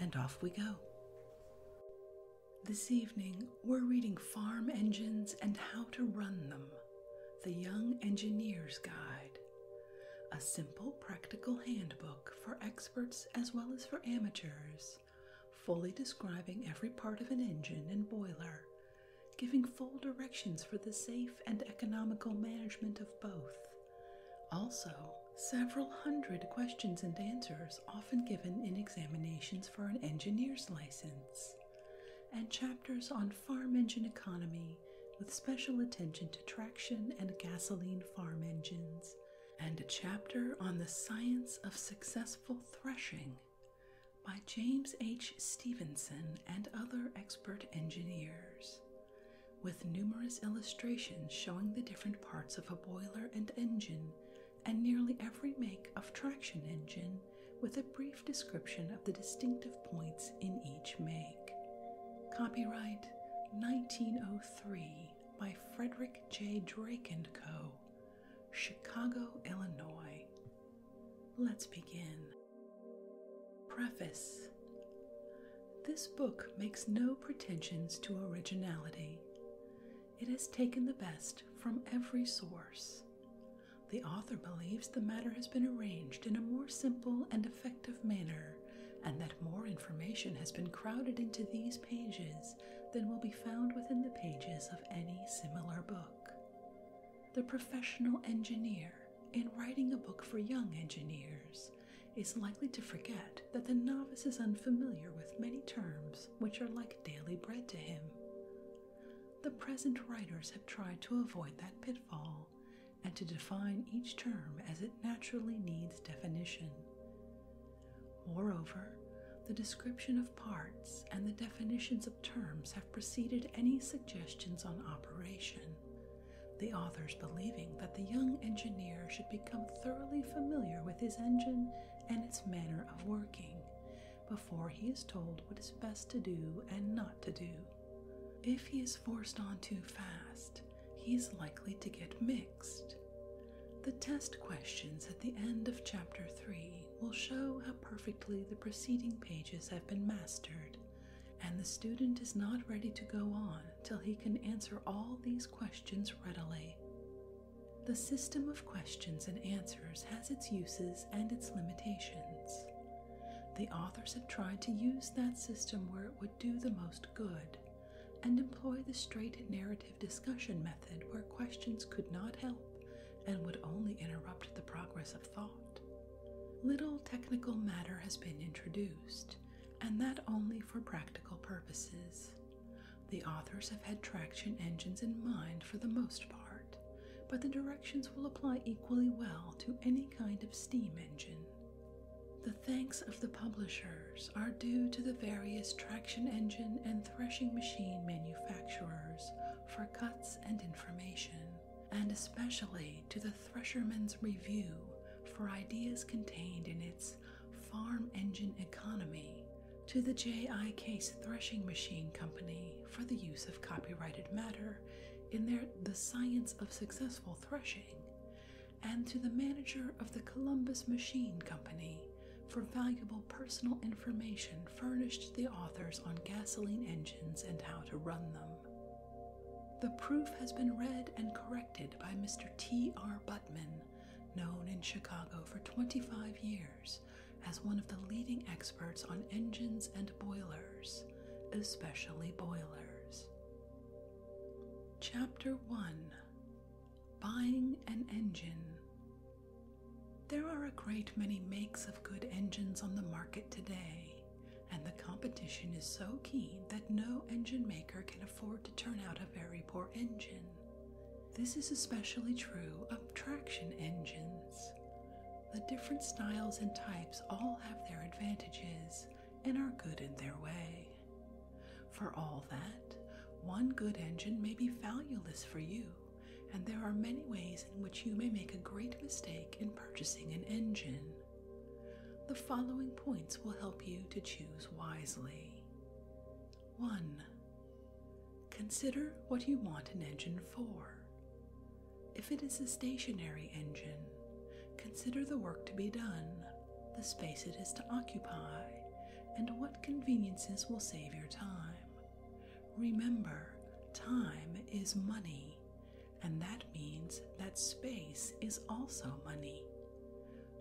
and off we go. This evening, we're reading Farm Engines and How to Run Them The Young Engineer's Guide, a simple practical handbook for experts as well as for amateurs, fully describing every part of an engine and boiler, giving full directions for the safe and economical management of both. Also, several hundred questions and answers often given in examinations for an engineer's license, and chapters on farm engine economy with special attention to traction and gasoline farm engines, and a chapter on the science of successful threshing by James H. Stevenson and other expert engineers, with numerous illustrations showing the different parts of a boiler and engine and nearly every make of traction engine with a brief description of the distinctive points in each make. Copyright 1903 by Frederick J. Drake and Co., Chicago, Illinois. Let's begin. Preface This book makes no pretensions to originality. It has taken the best from every source. The author believes the matter has been arranged in a more simple and effective manner, and that more information has been crowded into these pages than will be found within the pages of any similar book. The professional engineer, in writing a book for young engineers, is likely to forget that the novice is unfamiliar with many terms which are like daily bread to him. The present writers have tried to avoid that pitfall and to define each term as it naturally needs definition. Moreover, the description of parts and the definitions of terms have preceded any suggestions on operation, the authors believing that the young engineer should become thoroughly familiar with his engine and its manner of working before he is told what is best to do and not to do. If he is forced on too fast, he is likely to get mixed. The test questions at the end of Chapter 3 will show how perfectly the preceding pages have been mastered, and the student is not ready to go on till he can answer all these questions readily. The system of questions and answers has its uses and its limitations. The authors have tried to use that system where it would do the most good and employ the straight narrative discussion method where questions could not help and would only interrupt the progress of thought. Little technical matter has been introduced, and that only for practical purposes. The authors have had traction engines in mind for the most part, but the directions will apply equally well to any kind of steam engine. The thanks of the publishers are due to the various traction engine and threshing machine manufacturers for cuts and information, and especially to the Thresherman's Review for ideas contained in its farm engine economy to the J.I. Case Threshing Machine Company for the use of copyrighted matter in their The Science of Successful Threshing, and to the manager of the Columbus Machine Company for valuable personal information furnished the authors on gasoline engines and how to run them. The proof has been read and corrected by Mr. T. R. Buttman, known in Chicago for 25 years as one of the leading experts on engines and boilers, especially boilers. Chapter 1 Buying an Engine There are a great many makes of good engines on the market today, and the competition is so keen that no engine maker can afford to turn out a very poor engine. This is especially true of traction engines. The different styles and types all have their advantages and are good in their way. For all that, one good engine may be valueless for you, and there are many ways in which you may make a great mistake in purchasing an engine. The following points will help you to choose wisely. 1. Consider what you want an engine for. If it is a stationary engine, consider the work to be done, the space it is to occupy, and what conveniences will save your time. Remember, time is money, and that means that space is also money.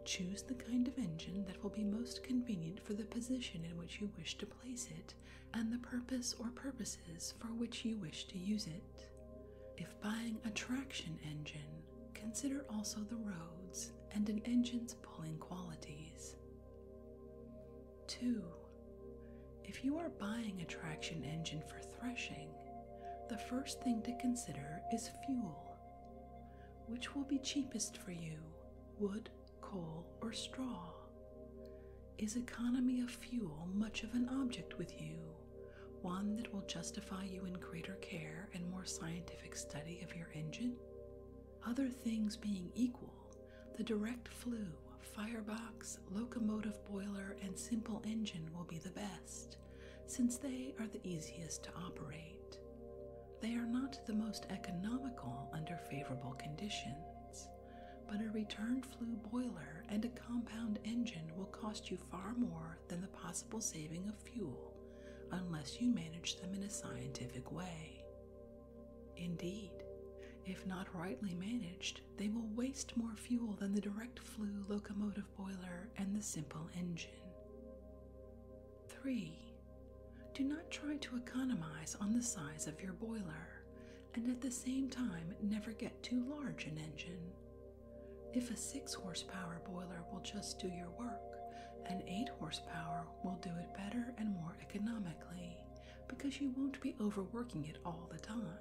Choose the kind of engine that will be most convenient for the position in which you wish to place it and the purpose or purposes for which you wish to use it. If buying a traction engine, consider also the roads and an engine's pulling qualities. 2. If you are buying a traction engine for threshing, the first thing to consider is fuel. Which will be cheapest for you, wood, coal, or straw? Is economy of fuel much of an object with you, one that will justify you in greater care and more scientific study of your engine? Other things being equal, the direct flue, firebox, locomotive boiler, and simple engine will be the best, since they are the easiest to operate. They are not the most economical under favorable conditions, but a return flue boiler and a compound engine will cost you far more than the possible saving of fuel unless you manage them in a scientific way. Indeed, if not rightly managed, they will waste more fuel than the direct flue locomotive boiler and the simple engine. 3. Do not try to economize on the size of your boiler and at the same time never get too large an engine. If a 6 horsepower boiler will just do your work, an 8 horsepower will do it better and more economically because you won't be overworking it all the time.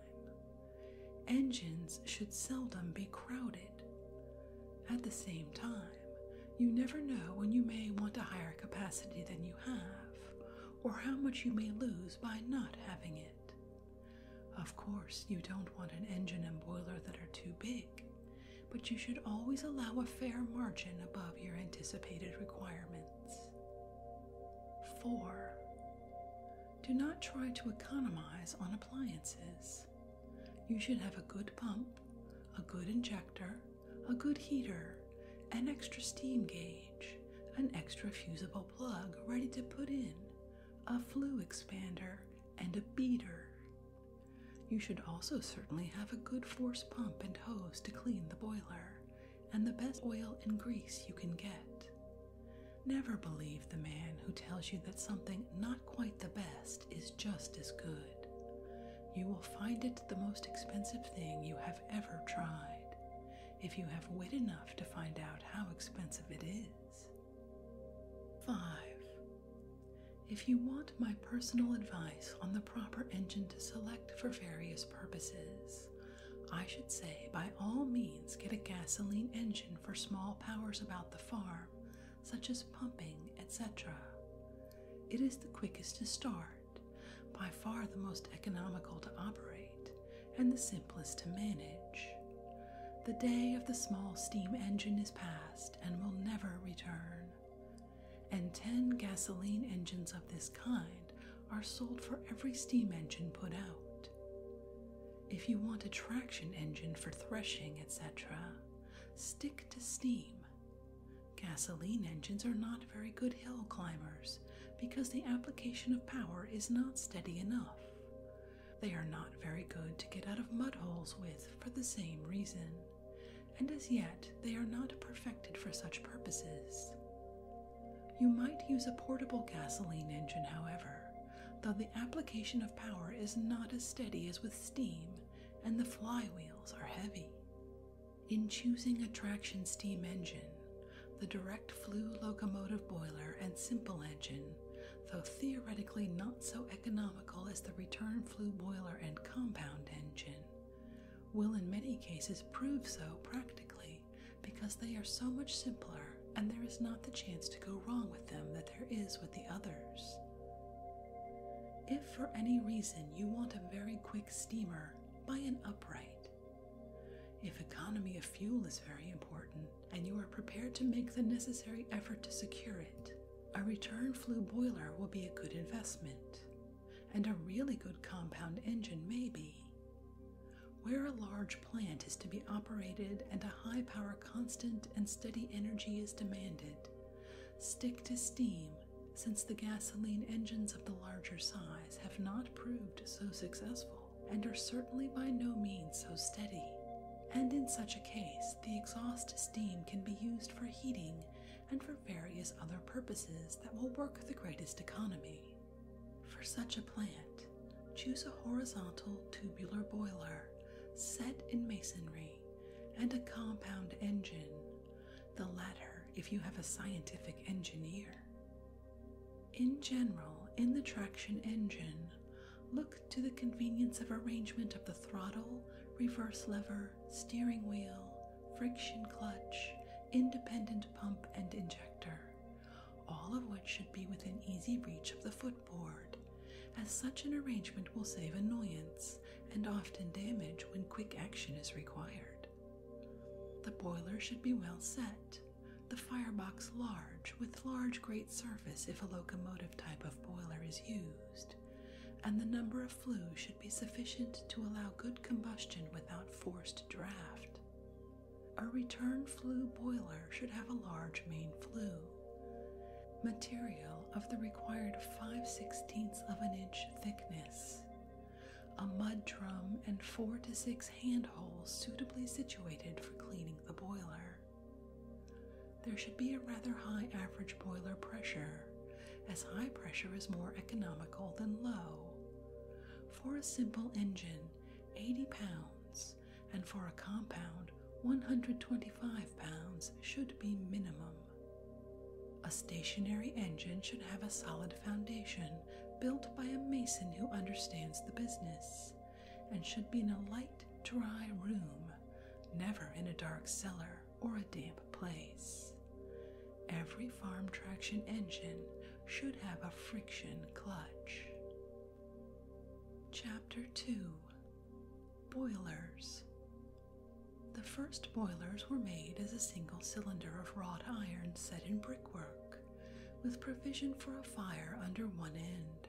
Engines should seldom be crowded. At the same time, you never know when you may want a higher capacity than you have, or how much you may lose by not having it. Of course, you don't want an engine and boiler that are too big, but you should always allow a fair margin above your anticipated requirements. 4. Do not try to economize on appliances. You should have a good pump, a good injector, a good heater, an extra steam gauge, an extra fusible plug ready to put in, a flue expander, and a beater. You should also certainly have a good force pump and hose to clean the boiler, and the best oil and grease you can get. Never believe the man who tells you that something not quite the best is just as good you will find it the most expensive thing you have ever tried, if you have wit enough to find out how expensive it is. 5. If you want my personal advice on the proper engine to select for various purposes, I should say by all means get a gasoline engine for small powers about the farm such as pumping, etc. It is the quickest to start, by far the most economical to operate, and the simplest to manage. The day of the small steam engine is past and will never return. And 10 gasoline engines of this kind are sold for every steam engine put out. If you want a traction engine for threshing, etc., stick to steam Gasoline engines are not very good hill climbers because the application of power is not steady enough. They are not very good to get out of mud holes with for the same reason, and as yet they are not perfected for such purposes. You might use a portable gasoline engine, however, though the application of power is not as steady as with steam, and the flywheels are heavy. In choosing a traction steam engine, the direct flue locomotive boiler and simple engine, though theoretically not so economical as the return flue boiler and compound engine, will in many cases prove so practically because they are so much simpler and there is not the chance to go wrong with them that there is with the others. If for any reason you want a very quick steamer, buy an upright. If economy of fuel is very important and you are prepared to make the necessary effort to secure it, a return flue boiler will be a good investment, and a really good compound engine may be. Where a large plant is to be operated and a high power constant and steady energy is demanded, stick to steam since the gasoline engines of the larger size have not proved so successful and are certainly by no means so steady. And in such a case, the exhaust steam can be used for heating and for various other purposes that will work the greatest economy. For such a plant, choose a horizontal tubular boiler set in masonry and a compound engine the latter if you have a scientific engineer. In general, in the traction engine, look to the convenience of arrangement of the throttle, reverse lever, steering wheel, friction clutch, independent pump, and injector, all of which should be within easy reach of the footboard, as such an arrangement will save annoyance and often damage when quick action is required. The boiler should be well set, the firebox large with large grate surface if a locomotive type of boiler is used, and the number of flues should be sufficient to allow good combustion without forced draft. A return flue boiler should have a large main flue material of the required 5 sixteenths of an inch thickness, a mud drum, and four to six hand holes suitably situated for cleaning the boiler. There should be a rather high average boiler pressure, as high pressure is more economical than low. For a simple engine, 80 pounds, and for a compound, 125 pounds should be minimum. A stationary engine should have a solid foundation built by a mason who understands the business and should be in a light, dry room, never in a dark cellar or a damp place. Every farm traction engine should have a friction clutch. Chapter 2 Boilers. The first boilers were made as a single cylinder of wrought iron set in brickwork, with provision for a fire under one end.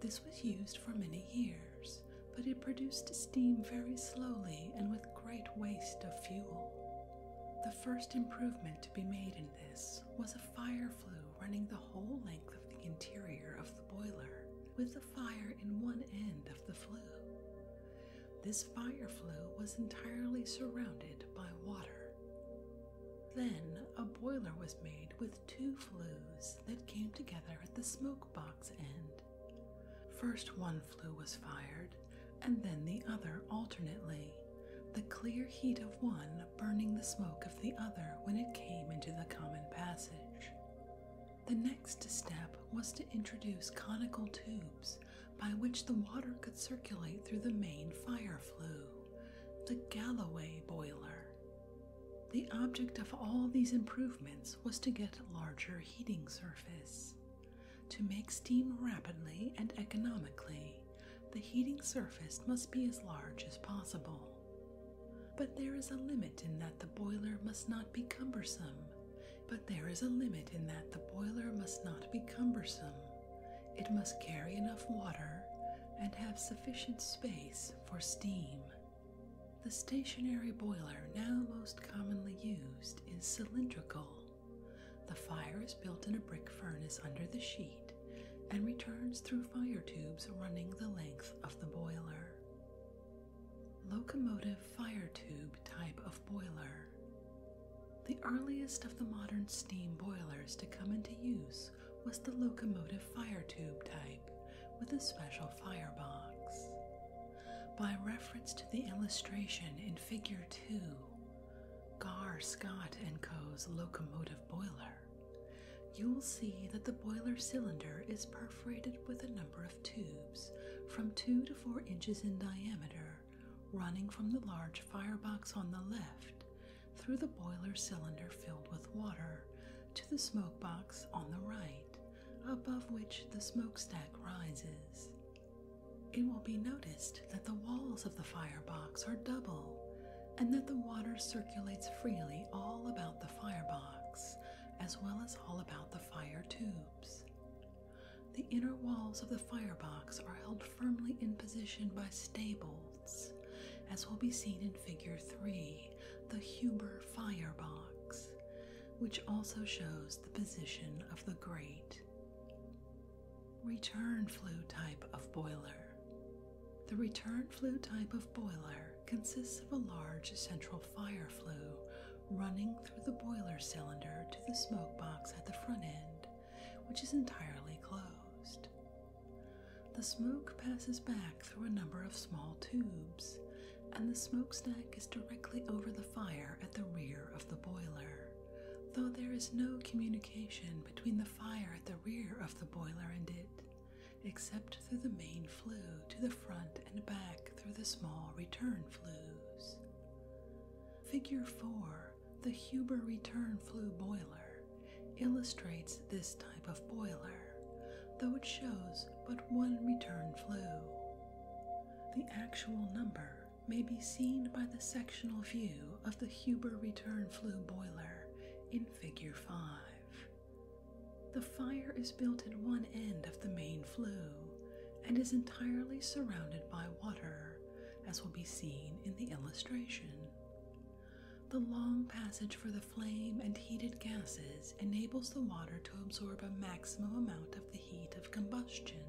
This was used for many years, but it produced steam very slowly and with great waste of fuel. The first improvement to be made in this was a fire flue running the whole length of the interior of the boiler, with a fire in one end of the flue. This fire flue was entirely surrounded by water. Then a boiler was made with two flues that came together at the smoke box end. First, one flue was fired, and then the other alternately, the clear heat of one burning the smoke of the other when it came into the common passage. The next step was to introduce conical tubes by which the water could circulate through the main fire flue, the Galloway boiler. The object of all these improvements was to get larger heating surface. To make steam rapidly and economically, the heating surface must be as large as possible. But there is a limit in that the boiler must not be cumbersome but there is a limit in that the boiler must not be cumbersome. It must carry enough water and have sufficient space for steam. The stationary boiler now most commonly used is cylindrical. The fire is built in a brick furnace under the sheet and returns through fire tubes running the length of the boiler locomotive fire tube type of boiler. The earliest of the modern steam boilers to come into use was the locomotive fire tube type with a special firebox. By reference to the illustration in Figure 2, Gar, Scott & Co.'s locomotive boiler, you'll see that the boiler cylinder is perforated with a number of tubes from 2 to 4 inches in diameter running from the large firebox on the left through the boiler cylinder filled with water to the smoke box on the right, above which the smokestack rises. It will be noticed that the walls of the firebox are double and that the water circulates freely all about the firebox as well as all about the fire tube. The inner walls of the firebox are held firmly in position by staples, as will be seen in Figure 3, the Huber firebox, which also shows the position of the grate. Return flue type of boiler. The return flue type of boiler consists of a large central fire flue running through the boiler cylinder to the smoke box at the front end, which is entirely closed. The smoke passes back through a number of small tubes, and the smokestack is directly over the fire at the rear of the boiler, though there is no communication between the fire at the rear of the boiler and it, except through the main flue to the front and back through the small return flues. Figure 4, the Huber return flue boiler, illustrates this type of boiler, though it shows but one return flue. The actual number may be seen by the sectional view of the Huber return flue boiler in Figure 5. The fire is built at one end of the main flue and is entirely surrounded by water, as will be seen in the illustration. The long passage for the flame and heated gases enables the water to absorb a maximum amount of the heat of combustion.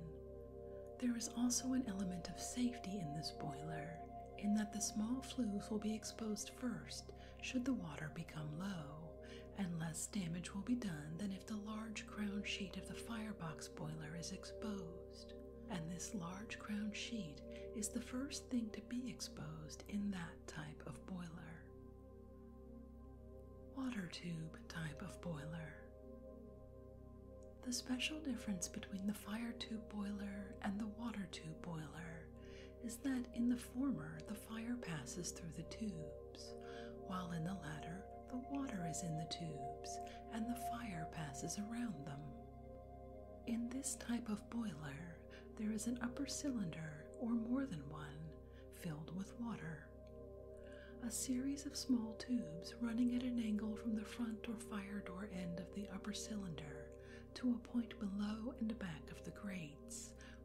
There is also an element of safety in this boiler, in that the small flues will be exposed first should the water become low, and less damage will be done than if the large crown sheet of the firebox boiler is exposed, and this large crown sheet is the first thing to be exposed in that type of boiler. Water tube type of boiler. The special difference between the fire tube boiler and the water tube boiler is that in the former the fire passes through the tubes, while in the latter, the water is in the tubes and the fire passes around them. In this type of boiler, there is an upper cylinder or more than one filled with water. A series of small tubes running at an angle from the front or fire door end of the upper cylinder to a point below and back of the grate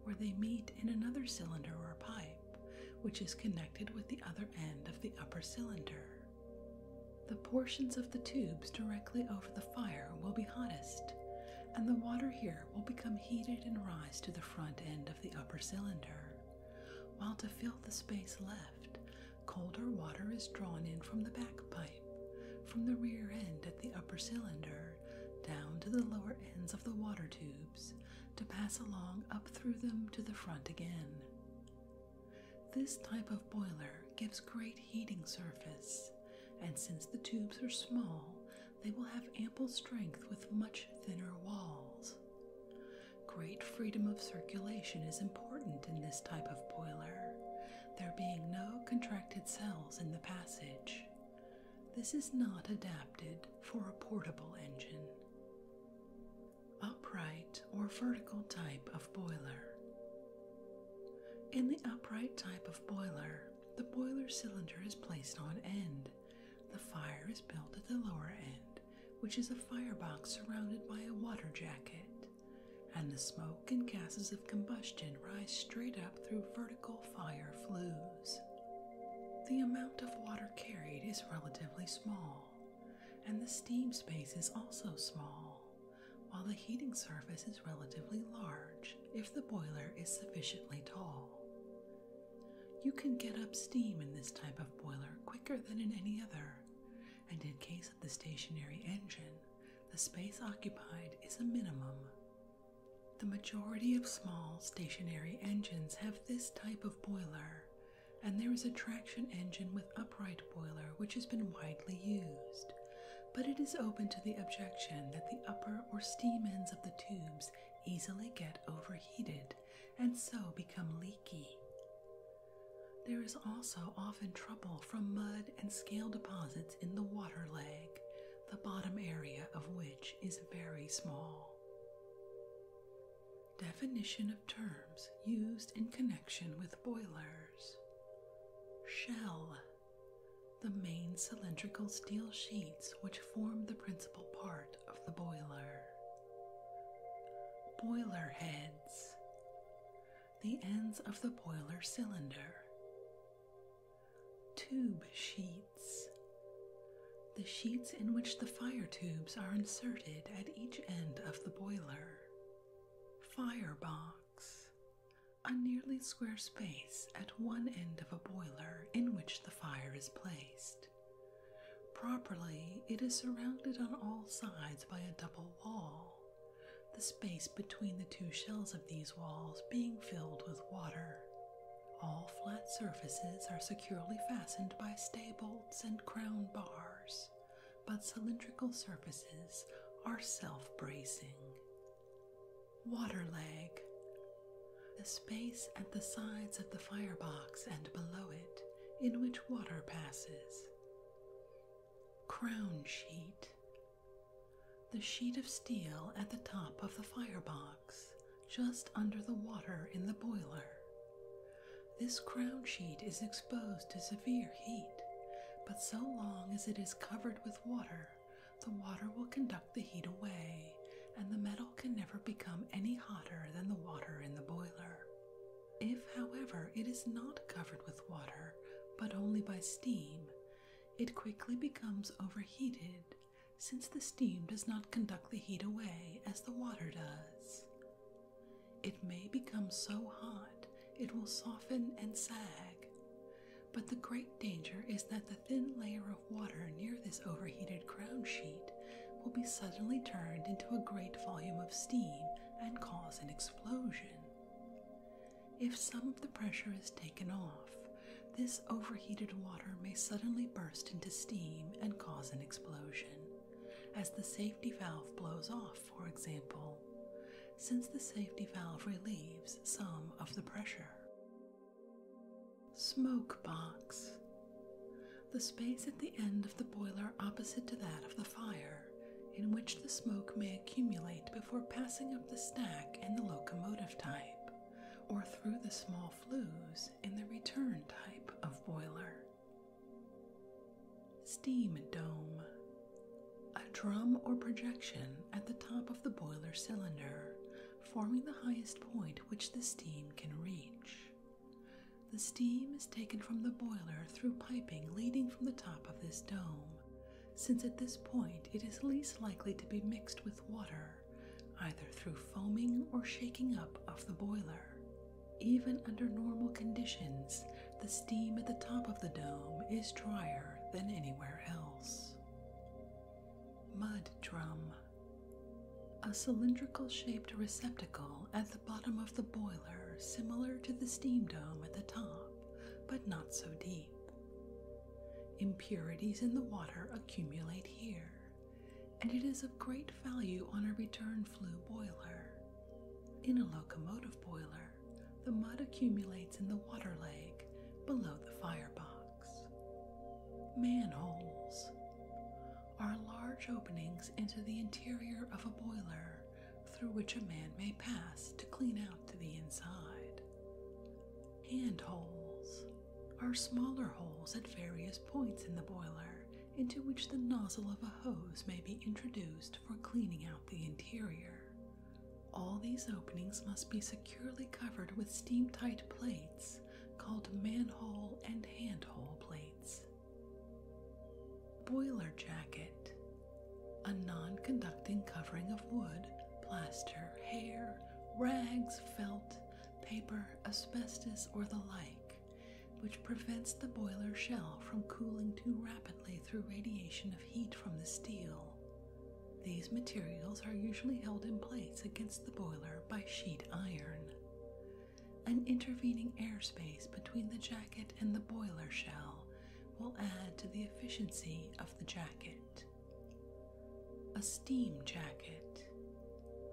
where they meet in another cylinder or pipe, which is connected with the other end of the upper cylinder. The portions of the tubes directly over the fire will be hottest, and the water here will become heated and rise to the front end of the upper cylinder, while to fill the space left, colder water is drawn in from the back pipe, from the rear end at the upper cylinder, down to the lower ends of the water tube to pass along up through them to the front again. This type of boiler gives great heating surface, and since the tubes are small, they will have ample strength with much thinner walls. Great freedom of circulation is important in this type of boiler, there being no contracted cells in the passage. This is not adapted for a portable engine. Upright or vertical type of boiler. In the upright type of boiler, the boiler cylinder is placed on end. The fire is built at the lower end, which is a firebox surrounded by a water jacket, and the smoke and gases of combustion rise straight up through vertical fire flue. The amount of water carried is relatively small, and the steam space is also small, while the heating surface is relatively large if the boiler is sufficiently tall. You can get up steam in this type of boiler quicker than in any other, and in case of the stationary engine, the space occupied is a minimum the majority of small stationary engines have this type of boiler, and there is a traction engine with upright boiler which has been widely used, but it is open to the objection that the upper or steam ends of the tubes easily get overheated and so become leaky. There is also often trouble from mud and scale deposits in the water leg, the bottom area of which is very small. Definition of terms used in connection with boilers. Shell. The main cylindrical steel sheets which form the principal part of the boiler. Boiler heads. The ends of the boiler cylinder. Tube sheet. The sheets in which the fire tubes are inserted at each end of the boiler. Firebox. A nearly square space at one end of a boiler in which the fire is placed. Properly, it is surrounded on all sides by a double wall, the space between the two shells of these walls being filled with water. All flat surfaces are securely fastened by stay bolts and crown bars, but cylindrical surfaces are self bracing. Water leg. The space at the sides of the firebox and below it in which water passes. Crown sheet. The sheet of steel at the top of the firebox just under the water in the boiler. This crown sheet is exposed to severe heat, but so long as it is covered with water, the water will conduct the heat away, and the metal can never become any hotter than the water in the boiler. If, however, it is not covered with water, but only by steam, it quickly becomes overheated since the steam does not conduct the heat away as the water does. It may become so hot it will soften and sag, but the great danger is that the thin layer of water near this overheated crown sheet will be suddenly turned into a great volume of steam and cause an explosion. If some of the pressure is taken off, this overheated water may suddenly burst into steam and cause an explosion, as the safety valve blows off, for example, since the safety valve relieves some of the pressure. Smoke box. The space at the end of the boiler opposite to that of the fire, in which the smoke may accumulate before passing up the stack in the locomotive type, or through the small flues in the return type of boiler. Steam dome. A drum or projection at the top of the boiler cylinder, forming the highest point which the steam can reach. The steam is taken from the boiler through piping leading from the top of this dome, since at this point it is least likely to be mixed with water either through foaming or shaking up of the boiler. Even under normal conditions, the steam at the top of the dome is drier than anywhere else. Mud drum. A cylindrical shaped receptacle at the bottom of the boiler, similar to the steam dome at the top, but not so deep. Impurities in the water accumulate here, and it is of great value on a return flue boiler. In a locomotive boiler, the mud accumulates in the water leg below the firebox. Manholes are large openings into the interior of a boiler through which a man may pass to clean out to the inside. Handholes are smaller holes at various points in the boiler into which the nozzle of a hose may be introduced for cleaning out the interior. All these openings must be securely covered with steam tight plates called manhole and handhole plates. Boiler jacket a non conducting covering of wood, plaster, hair, rags, felt, paper, asbestos, or the like, which prevents the boiler shell from cooling too rapidly through radiation of heat from the steel. These materials are usually held in place against the boiler by sheet iron. An intervening airspace between the jacket and the boiler shell will add to the efficiency of the jacket a steam jacket,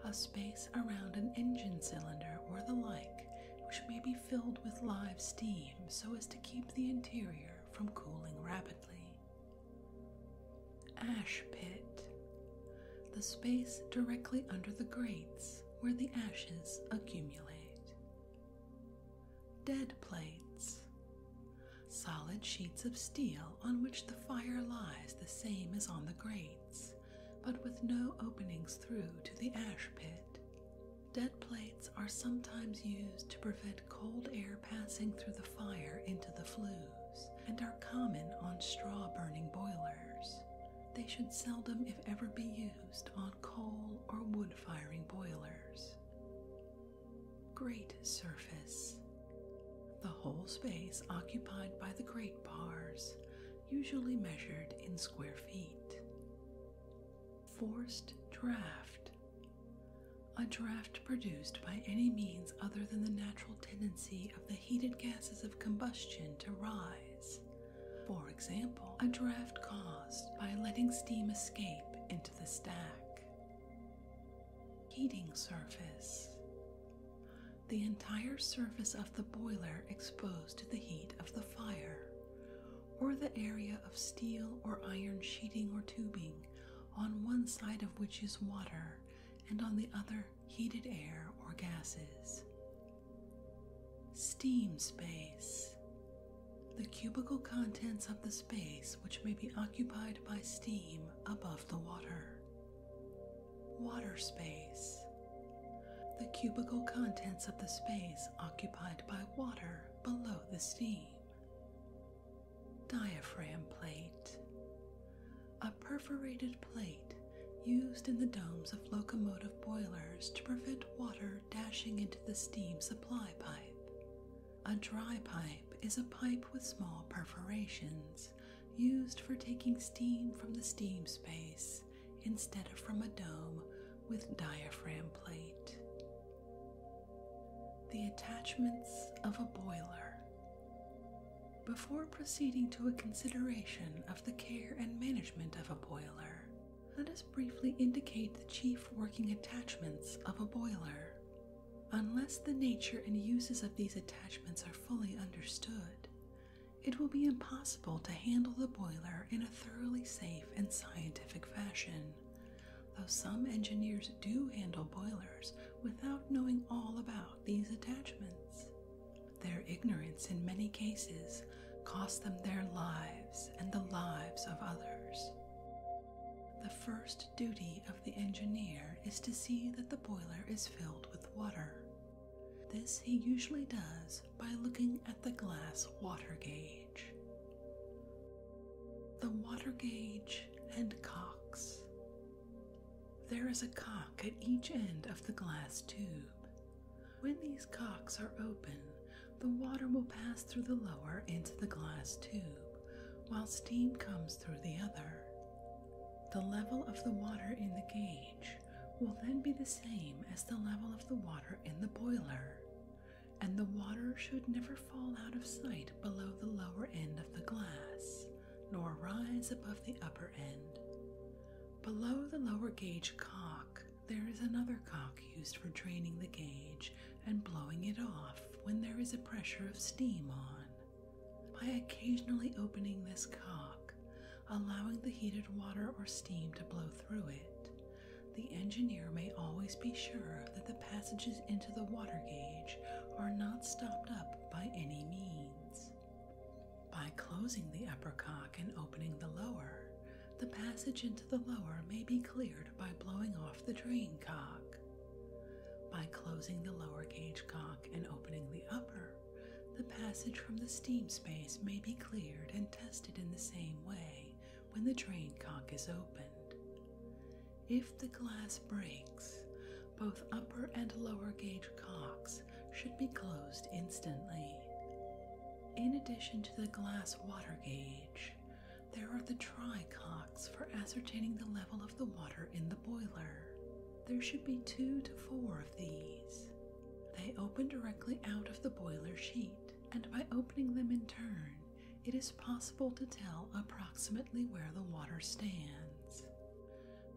a space around an engine cylinder or the like, which may be filled with live steam so as to keep the interior from cooling rapidly. Ash pit, the space directly under the grates where the ashes accumulate. Dead plates, solid sheets of steel on which the fire lies the same as on the grates, but with no openings through to the ash pit. Dead plates are sometimes used to prevent cold air passing through the fire into the flues, and are common on straw burning boilers. They should seldom, if ever, be used on coal or wood firing boilers. Great surface. The whole space occupied by the grate bars, usually measured in square feet. Forced draft. A draft produced by any means other than the natural tendency of the heated gases of combustion to rise. For example, a draft caused by letting steam escape into the stack. Heating surface the entire surface of the boiler exposed to the heat of the fire, or the area of steel or iron sheeting or tubing on one side of which is water and on the other heated air or gases. Steam space. The cubical contents of the space which may be occupied by steam above the water. Water space. The cubical contents of the space occupied by water below the steam. Diaphragm plate. A perforated plate used in the domes of locomotive boilers to prevent water dashing into the steam supply pipe. A dry pipe is a pipe with small perforations used for taking steam from the steam space instead of from a dome with diaphragm plate. The attachments of a boiler. Before proceeding to a consideration of the care and management of a boiler, let us briefly indicate the chief working attachments of a boiler. Unless the nature and uses of these attachments are fully understood, it will be impossible to handle the boiler in a thoroughly safe and scientific fashion, though some engineers do handle boilers without knowing all about these attachments. Their ignorance in many cases costs them their lives and the lives of others. The first duty of the engineer is to see that the boiler is filled with water. This he usually does by looking at the glass water gauge. The water gauge and cocks. There is a cock at each end of the glass tube. When these cocks are open, the water will pass through the lower into the glass tube, while steam comes through the other. The level of the water in the gauge will then be the same as the level of the water in the boiler, and the water should never fall out of sight below the lower end of the glass, nor rise above the upper end. Below the lower gauge cock, there is another cock used for draining the gauge and blowing it off when there is a pressure of steam on by occasionally opening this cock, allowing the heated water or steam to blow through it. The engineer may always be sure that the passages into the water gauge are not stopped up by any means. By closing the upper cock and opening the lower, the passage into the lower may be cleared by blowing off the drain cock. By closing the lower gauge cock and opening the upper, the passage from the steam space may be cleared and tested in the same way when the drain cock is opened. If the glass breaks, both upper and lower gauge cocks should be closed instantly. In addition to the glass water gauge, there are the try cocks for ascertaining the level of the water in the boiler. There should be two to four of these. They open directly out of the boiler sheet, and by opening them in turn, it is possible to tell approximately where the water stands.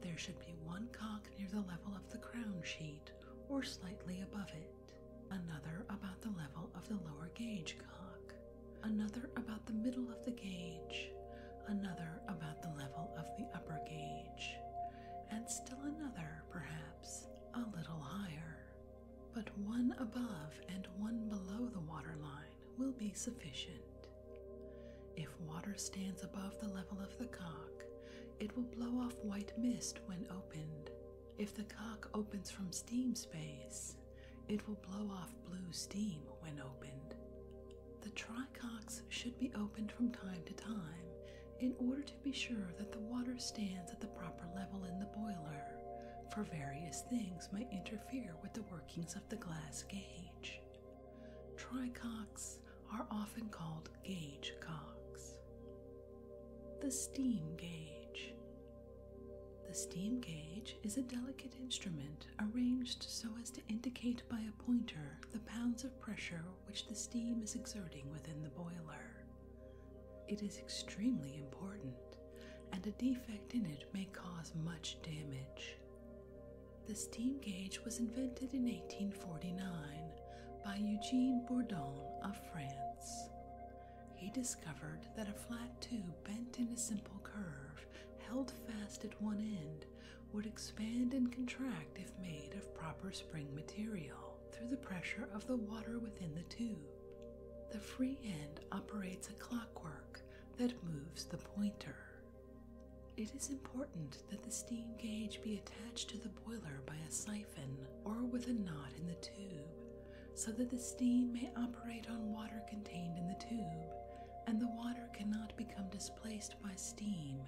There should be one cock near the level of the crown sheet or slightly above it, another about the level of the lower gauge cock, another about the middle of the gauge, another about the level of the upper gauge, and still another, perhaps, a little higher. But one above and one below the waterline will be sufficient. If water stands above the level of the cock, it will blow off white mist when opened. If the cock opens from steam space, it will blow off blue steam when opened. The tricox should be opened from time to time in order to be sure that the water stands at the proper level in the boiler, for various things may interfere with the workings of the glass gauge. Tricocks are often called gauge cocks. The steam gauge. The steam gauge is a delicate instrument arranged so as to indicate by a pointer the pounds of pressure which the steam is exerting within the boiler. It is extremely important, and a defect in it may cause much damage. The steam gauge was invented in 1849 by Eugene Bourdon of France. He discovered that a flat tube bent in a simple curve, held fast at one end, would expand and contract if made of proper spring material through the pressure of the water within the tube. The free end operates a clockwork that moves the pointer. It is important that the steam gauge be attached to the boiler by a siphon or with a knot in the tube, so that the steam may operate on water contained in the tube and the water cannot become displaced by steam,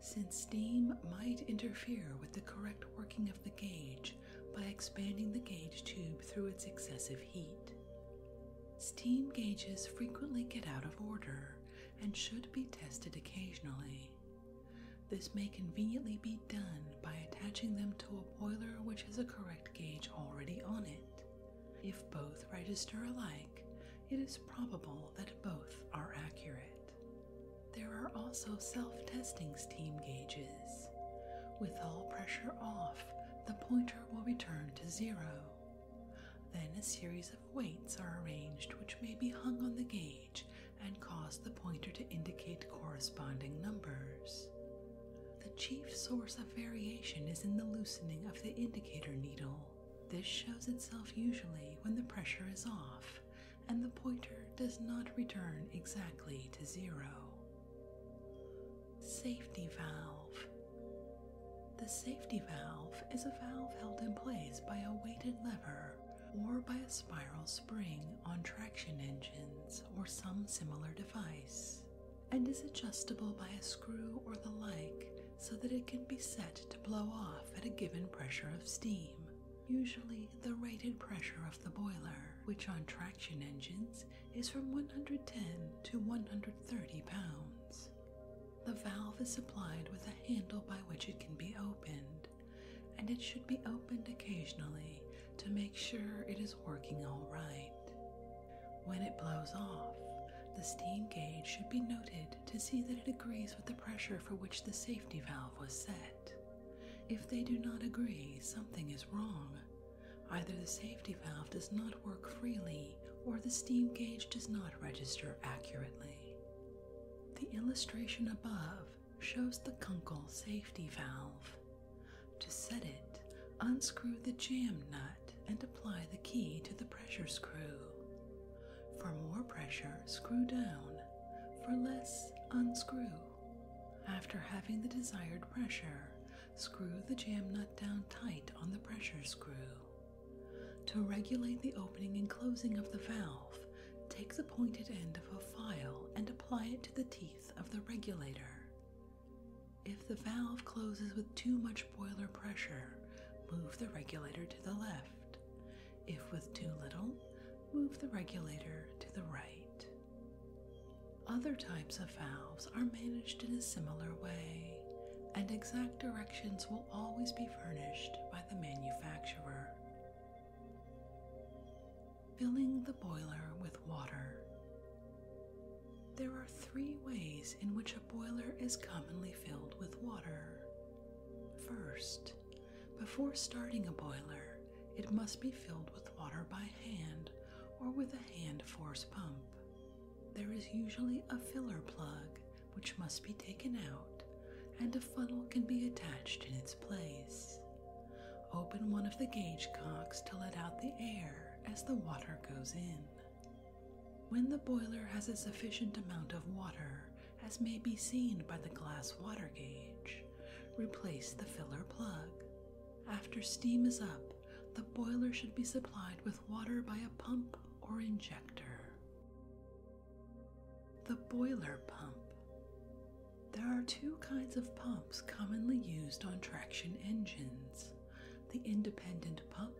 since steam might interfere with the correct working of the gauge by expanding the gauge tube through its excessive heat. Steam gauges frequently get out of order and should be tested occasionally. This may conveniently be done by attaching them to a boiler which has a correct gauge already on it, if both register alike, it is probable that both are accurate. There are also self testing steam gauges. With all pressure off, the pointer will return to zero. Then a series of weights are arranged which may be hung on the gauge and cause the pointer to indicate corresponding numbers. The chief source of variation is in the loosening of the indicator needle. This shows itself usually when the pressure is off and the pointer does not return exactly to zero. Safety valve. The safety valve is a valve held in place by a weighted lever or by a spiral spring on traction engines or some similar device, and is adjustable by a screw or the like so that it can be set to blow off at a given pressure of steam, usually the rated pressure of the boiler, which on traction engines is from 110 to 130 pounds. The valve is supplied with a handle by which it can be opened, and it should be opened occasionally to make sure it is working all right. When it blows off, the steam gauge should be noted to see that it agrees with the pressure for which the safety valve was set. If they do not agree, something is wrong. Either the safety valve does not work freely or the steam gauge does not register accurately. The illustration above shows the Kunkel safety valve. To set it, unscrew the jam nut and apply the key to the pressure screw. For more pressure, screw down. For less, unscrew. After having the desired pressure, screw the jam nut down tight on the pressure screw. To regulate the opening and closing of the valve, take the pointed end of a file and apply it to the teeth of the regulator. If the valve closes with too much boiler pressure, move the regulator to the left. If with too little, move the regulator to the right. Other types of valves are managed in a similar way, and exact directions will always be furnished by the manufacturer. Filling the boiler with water. There are three ways in which a boiler is commonly filled with water. First, before starting a boiler, it must be filled with water by hand or with a hand force pump. There is usually a filler plug which must be taken out, and a funnel can be attached in its place. Open one of the gauge cocks to let out the air as the water goes in. When the boiler has a sufficient amount of water, as may be seen by the glass water gauge, replace the filler plug. After steam is up, the boiler should be supplied with water by a pump or injector. The boiler pump. There are two kinds of pumps commonly used on traction engines the independent pump,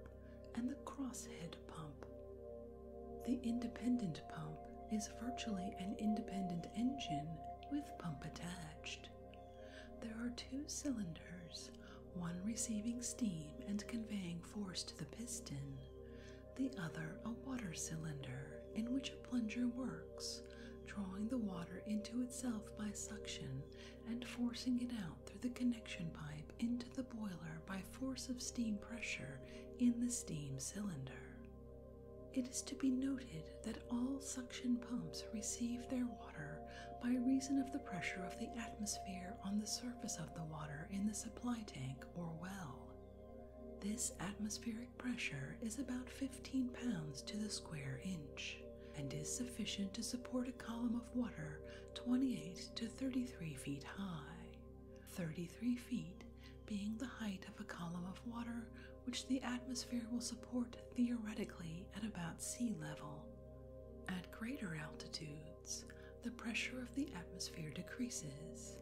and the crosshead pump. The independent pump is virtually an independent engine with pump attached. There are two cylinders, one receiving steam and conveying force to the piston, the other a water cylinder in which a plunger works, drawing the water into itself by suction and forcing it out through the connection pipe into the boiler by force of steam pressure in the steam cylinder. It is to be noted that all suction pumps receive their water by reason of the pressure of the atmosphere on the surface of the water in the supply tank or well. This atmospheric pressure is about 15 pounds to the square inch and is sufficient to support a column of water 28 to 33 feet high, 33 feet being the height of a column of water which the atmosphere will support theoretically at about sea level. At greater altitudes, the pressure of the atmosphere decreases.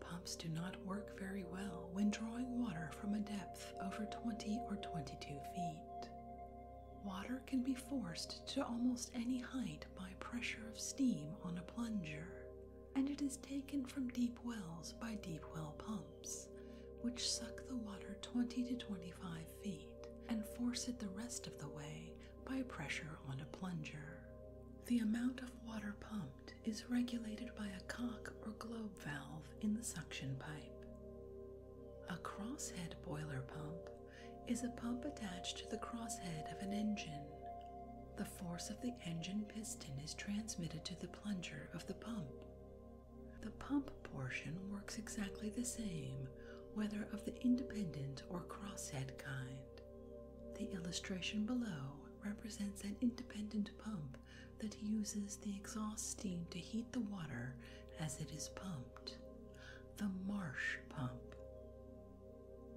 Pumps do not work very well when drawing water from a depth over 20 or 22 feet. Water can be forced to almost any height by pressure of steam on a plunger, and it is taken from deep wells by deep well pumps, which suck the water 20 to 25 feet and force it the rest of the way by pressure on a plunger. The amount of water pumped is regulated by a cock or globe valve in the suction pipe. A crosshead boiler pump is a pump attached to the crosshead of an engine. The force of the engine piston is transmitted to the plunger of the pump. The pump portion works exactly the same, whether of the independent or crosshead kind. The illustration below represents an independent pump that uses the exhaust steam to heat the water as it is pumped the marsh pump.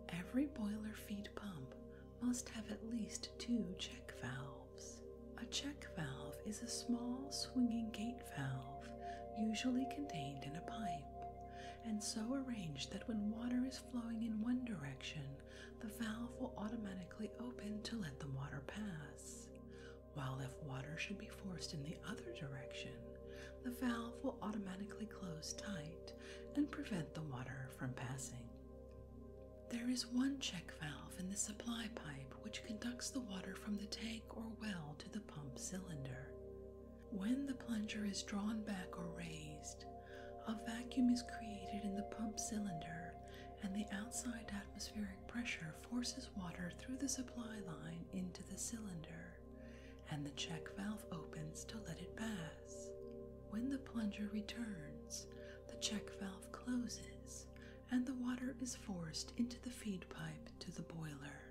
Every boiler feed pump must have at least two check valves. A check valve is a small swinging gate valve, usually contained in a pipe, and so arranged that when water is flowing in one direction, the valve will automatically open to let the water pass, while if water should be forced in the other direction, the valve will automatically close tight and prevent the water from passing. There is one check valve in the supply pipe which conducts the water from the tank or well to the pump cylinder. When the plunger is drawn back or raised, a vacuum is created in the pump cylinder, and the outside atmospheric pressure forces water through the supply line into the cylinder and the check valve opens to let it pass. When the plunger returns, the check valve closes, and the water is forced into the feed pipe to the boiler.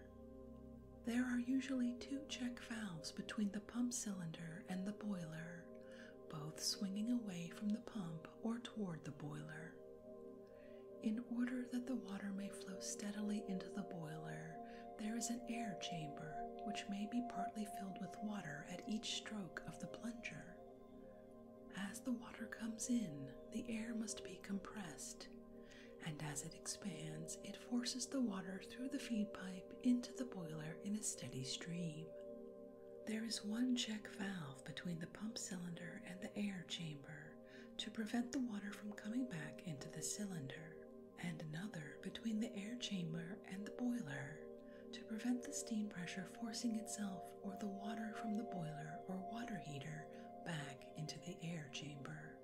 There are usually two check valves between the pump cylinder and the boiler, both swinging away from the pump or toward the boiler. In order that the water may flow steadily into the boiler, there is an air chamber which may be partly filled with water at each stroke of the plunger. As the water comes in, the air must be compressed, and as it expands, it forces the water through the feed pipe into the boiler in a steady stream. There is one check valve between the pump cylinder and the air chamber to prevent the water from coming back into the cylinder and another between the air chamber and the boiler to prevent the steam pressure forcing itself or the water from the boiler or water heater back into the air chamber.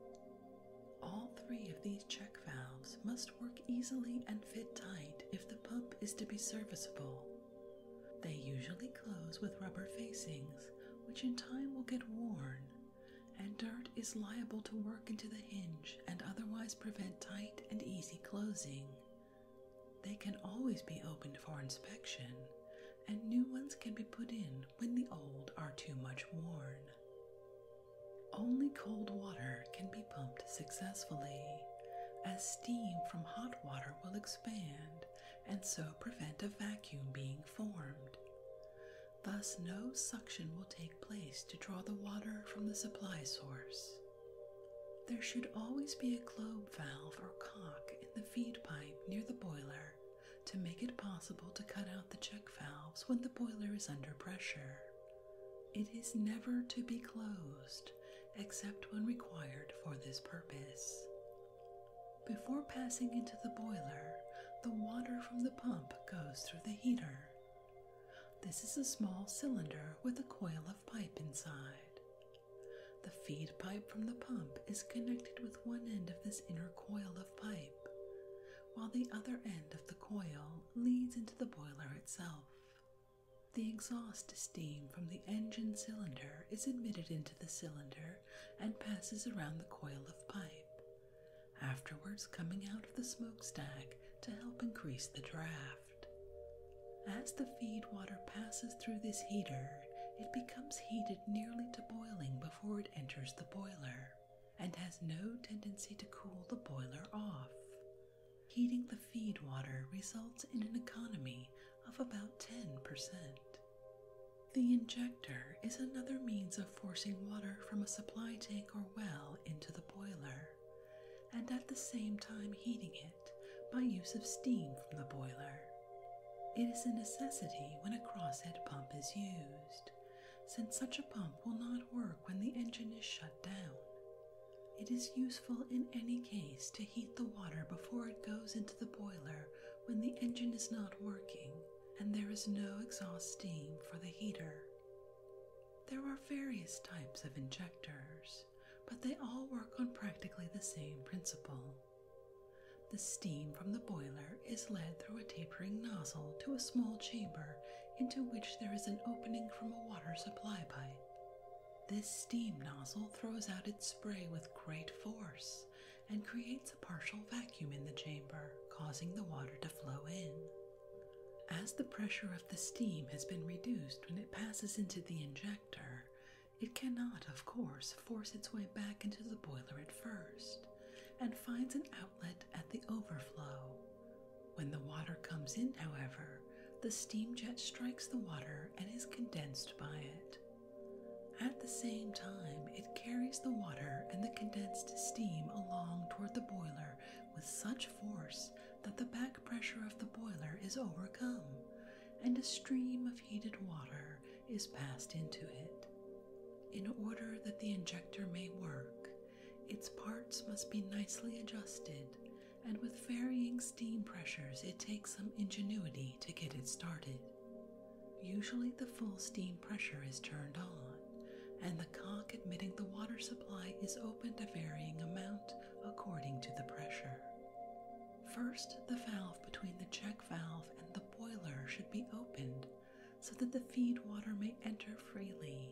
All three of these check valves must work easily and fit tight if the pump is to be serviceable. They usually close with rubber facings, which in time will get worn and dirt is liable to work into the hinge and otherwise prevent tight and easy closing. They can always be opened for inspection, and new ones can be put in when the old are too much worn. Only cold water can be pumped successfully, as steam from hot water will expand and so prevent a vacuum being formed. Thus, no suction will take place to draw the water from the supply source. There should always be a globe valve or cock in the feed pipe near the boiler to make it possible to cut out the check valves when the boiler is under pressure. It is never to be closed except when required for this purpose. Before passing into the boiler, the water from the pump goes through the heater. This is a small cylinder with a coil of pipe inside. The feed pipe from the pump is connected with one end of this inner coil of pipe, while the other end of the coil leads into the boiler itself. The exhaust steam from the engine cylinder is admitted into the cylinder and passes around the coil of pipe, afterwards coming out of the smokestack to help increase the draft. As the feed water passes through this heater, it becomes heated nearly to boiling before it enters the boiler and has no tendency to cool the boiler off. Heating the feed water results in an economy of about 10%. The injector is another means of forcing water from a supply tank or well into the boiler, and at the same time heating it by use of steam from the boiler. It is a necessity when a crosshead pump is used, since such a pump will not work when the engine is shut down. It is useful in any case to heat the water before it goes into the boiler when the engine is not working and there is no exhaust steam for the heater. There are various types of injectors, but they all work on practically the same principle. The steam from the boiler is led through a tapering nozzle to a small chamber into which there is an opening from a water supply pipe. This steam nozzle throws out its spray with great force and creates a partial vacuum in the chamber, causing the water to flow in. As the pressure of the steam has been reduced when it passes into the injector, it cannot, of course, force its way back into the boiler at first and finds an outlet at the overflow. When the water comes in, however, the steam jet strikes the water and is condensed by it. At the same time, it carries the water and the condensed steam along toward the boiler with such force that the back pressure of the boiler is overcome and a stream of heated water is passed into it. In order that the injector may work, its parts must be nicely adjusted, and with varying steam pressures, it takes some ingenuity to get it started. Usually, the full steam pressure is turned on, and the cock admitting the water supply is opened a varying amount according to the pressure. First, the valve between the check valve and the boiler should be opened so that the feed water may enter freely.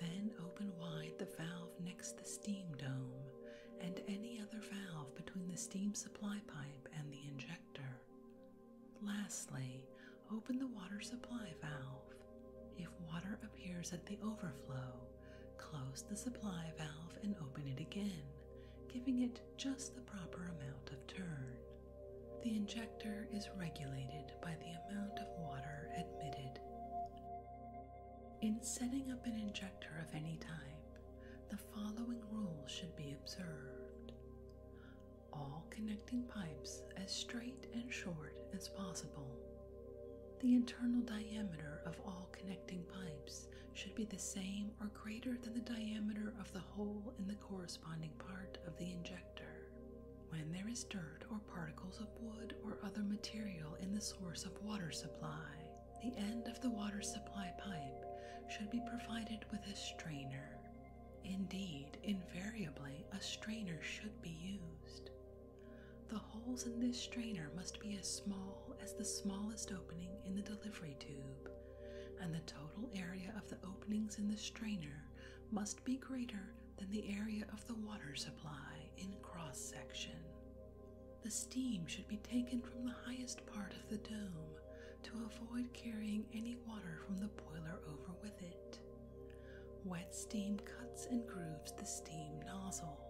Then open wide the valve next the steam dome and any other valve between the steam supply pipe and the injector. Lastly, open the water supply valve. If water appears at the overflow, close the supply valve and open it again, giving it just the proper amount of turn. The injector is regulated by the amount of water admitted. In setting up an injector of any type, the following rules should be observed all connecting pipes as straight and short as possible. The internal diameter of all connecting pipes should be the same or greater than the diameter of the hole in the corresponding part of the injector. When there is dirt or particles of wood or other material in the source of water supply, the end of the water supply pipe should be provided with a strainer. Indeed, invariably, a strainer should be used. The holes in this strainer must be as small as the smallest opening in the delivery tube, and the total area of the openings in the strainer must be greater than the area of the water supply in cross section. The steam should be taken from the highest part of the dome to avoid carrying any water from the boiler over with it. Wet steam cuts and grooves the steam nozzle.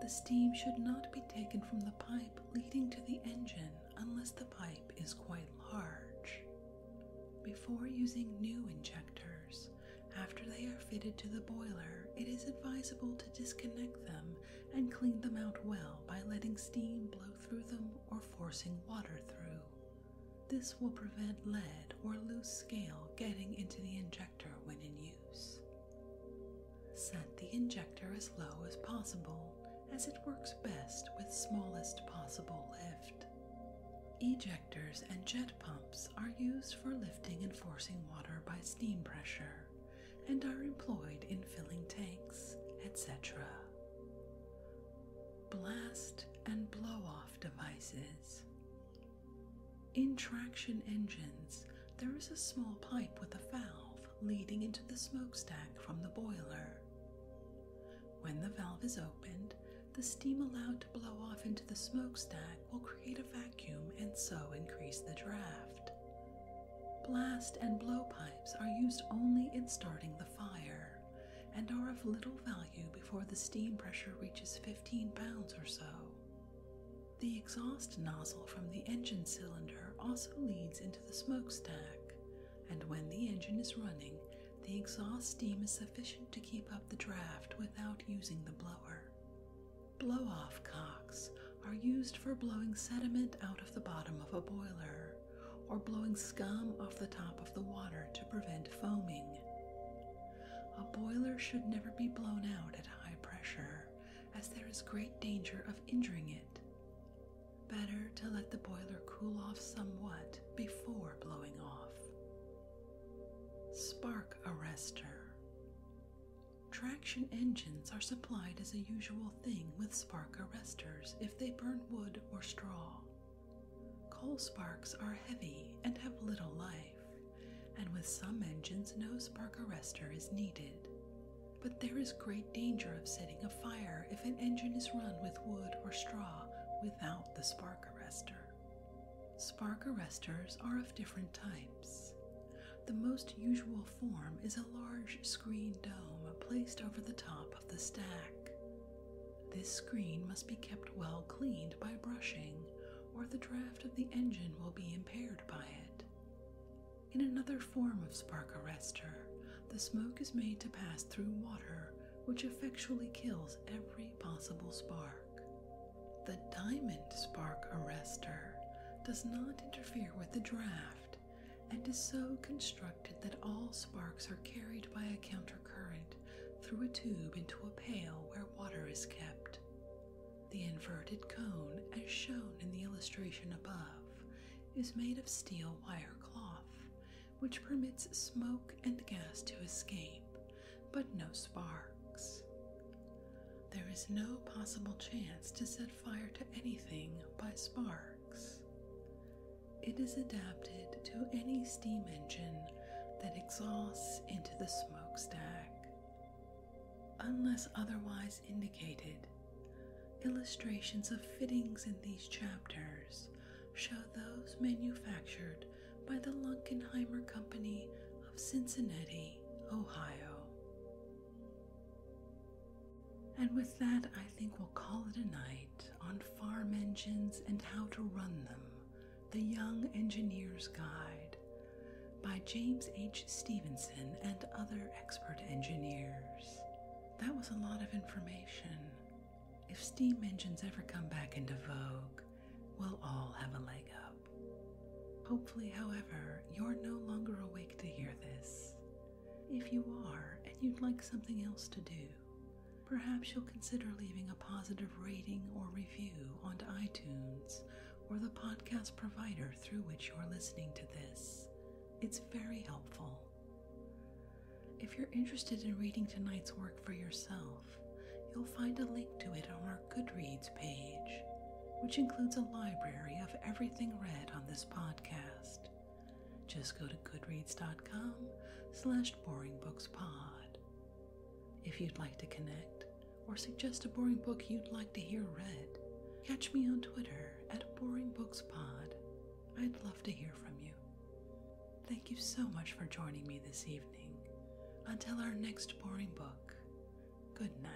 The steam should not be taken from the pipe leading to the engine unless the pipe is quite large. Before using new injectors, after they are fitted to the boiler, it is advisable to disconnect them and clean them out well by letting steam blow through them or forcing water through. This will prevent lead or loose scale getting into the injector when in use. Set the injector as low as possible as it works best with smallest possible lift. Ejectors and jet pumps are used for lifting and forcing water by steam pressure and are employed in filling tanks, etc blast and blow off devices. In traction engines, there is a small pipe with a valve leading into the smokestack from the boiler. When the valve is opened, the steam allowed to blow off into the smokestack will create a vacuum and so increase the draft. Blast and blow pipes are used only in starting the fire and are of little value before the steam pressure reaches 15 pounds or so. The exhaust nozzle from the engine cylinder also leads into the smokestack, and when the engine is running, the exhaust steam is sufficient to keep up the draft without using the blower. Blow off cocks are used for blowing sediment out of the bottom of a boiler or blowing scum off the top of the water to prevent foaming. A boiler should never be blown out at high pressure, as there is great danger of injuring it. Better to let the boiler cool off somewhat before blowing off. Spark Arrestor Traction engines are supplied as a usual thing with spark arrestors if they burn wood or straw. Coal sparks are heavy and have little life, and with some engines, no spark arrestor is needed. But there is great danger of setting a fire if an engine is run with wood or straw without the spark arrestor. Spark arresters are of different types. The most usual form is a large screen dome placed over the top of the stack. This screen must be kept well cleaned by brushing, or the draft of the engine will be impaired by it. In another form of spark arrestor, the smoke is made to pass through water, which effectually kills every possible spark. The diamond spark arrestor does not interfere with the draft and is so constructed that all sparks are carried by a counter current through a tube into a pail where water is kept. The inverted cone, as shown in the illustration above, is made of steel wire cloth, which permits smoke and gas to escape, but no sparks. There is no possible chance to set fire to anything by sparks. It is adapted to any steam engine that exhausts into the smokestack. Unless otherwise indicated, illustrations of fittings in these chapters show those manufactured by the Lunkenheimer Company of Cincinnati, Ohio. And with that, I think we'll call it a night on farm engines and how to run them The Young Engineer's Guide by James H. Stevenson and other expert engineers. That was a lot of information. If steam engines ever come back into vogue, we'll all have a leg up. Hopefully, however, you're no longer awake to hear this, if you are and you'd like something else to do, perhaps you'll consider leaving a positive rating or review on iTunes or the podcast provider through which you're listening to this. It's very helpful. If you're interested in reading tonight's work for yourself, you'll find a link to it on our Goodreads page, which includes a library of everything read on this podcast. Just go to goodreads.com slash boringbookspod. If you'd like to connect or suggest a boring book you'd like to hear read, catch me on Twitter at boringbookspod. I'd love to hear from you. Thank you so much for joining me this evening. Until our next boring book, good night.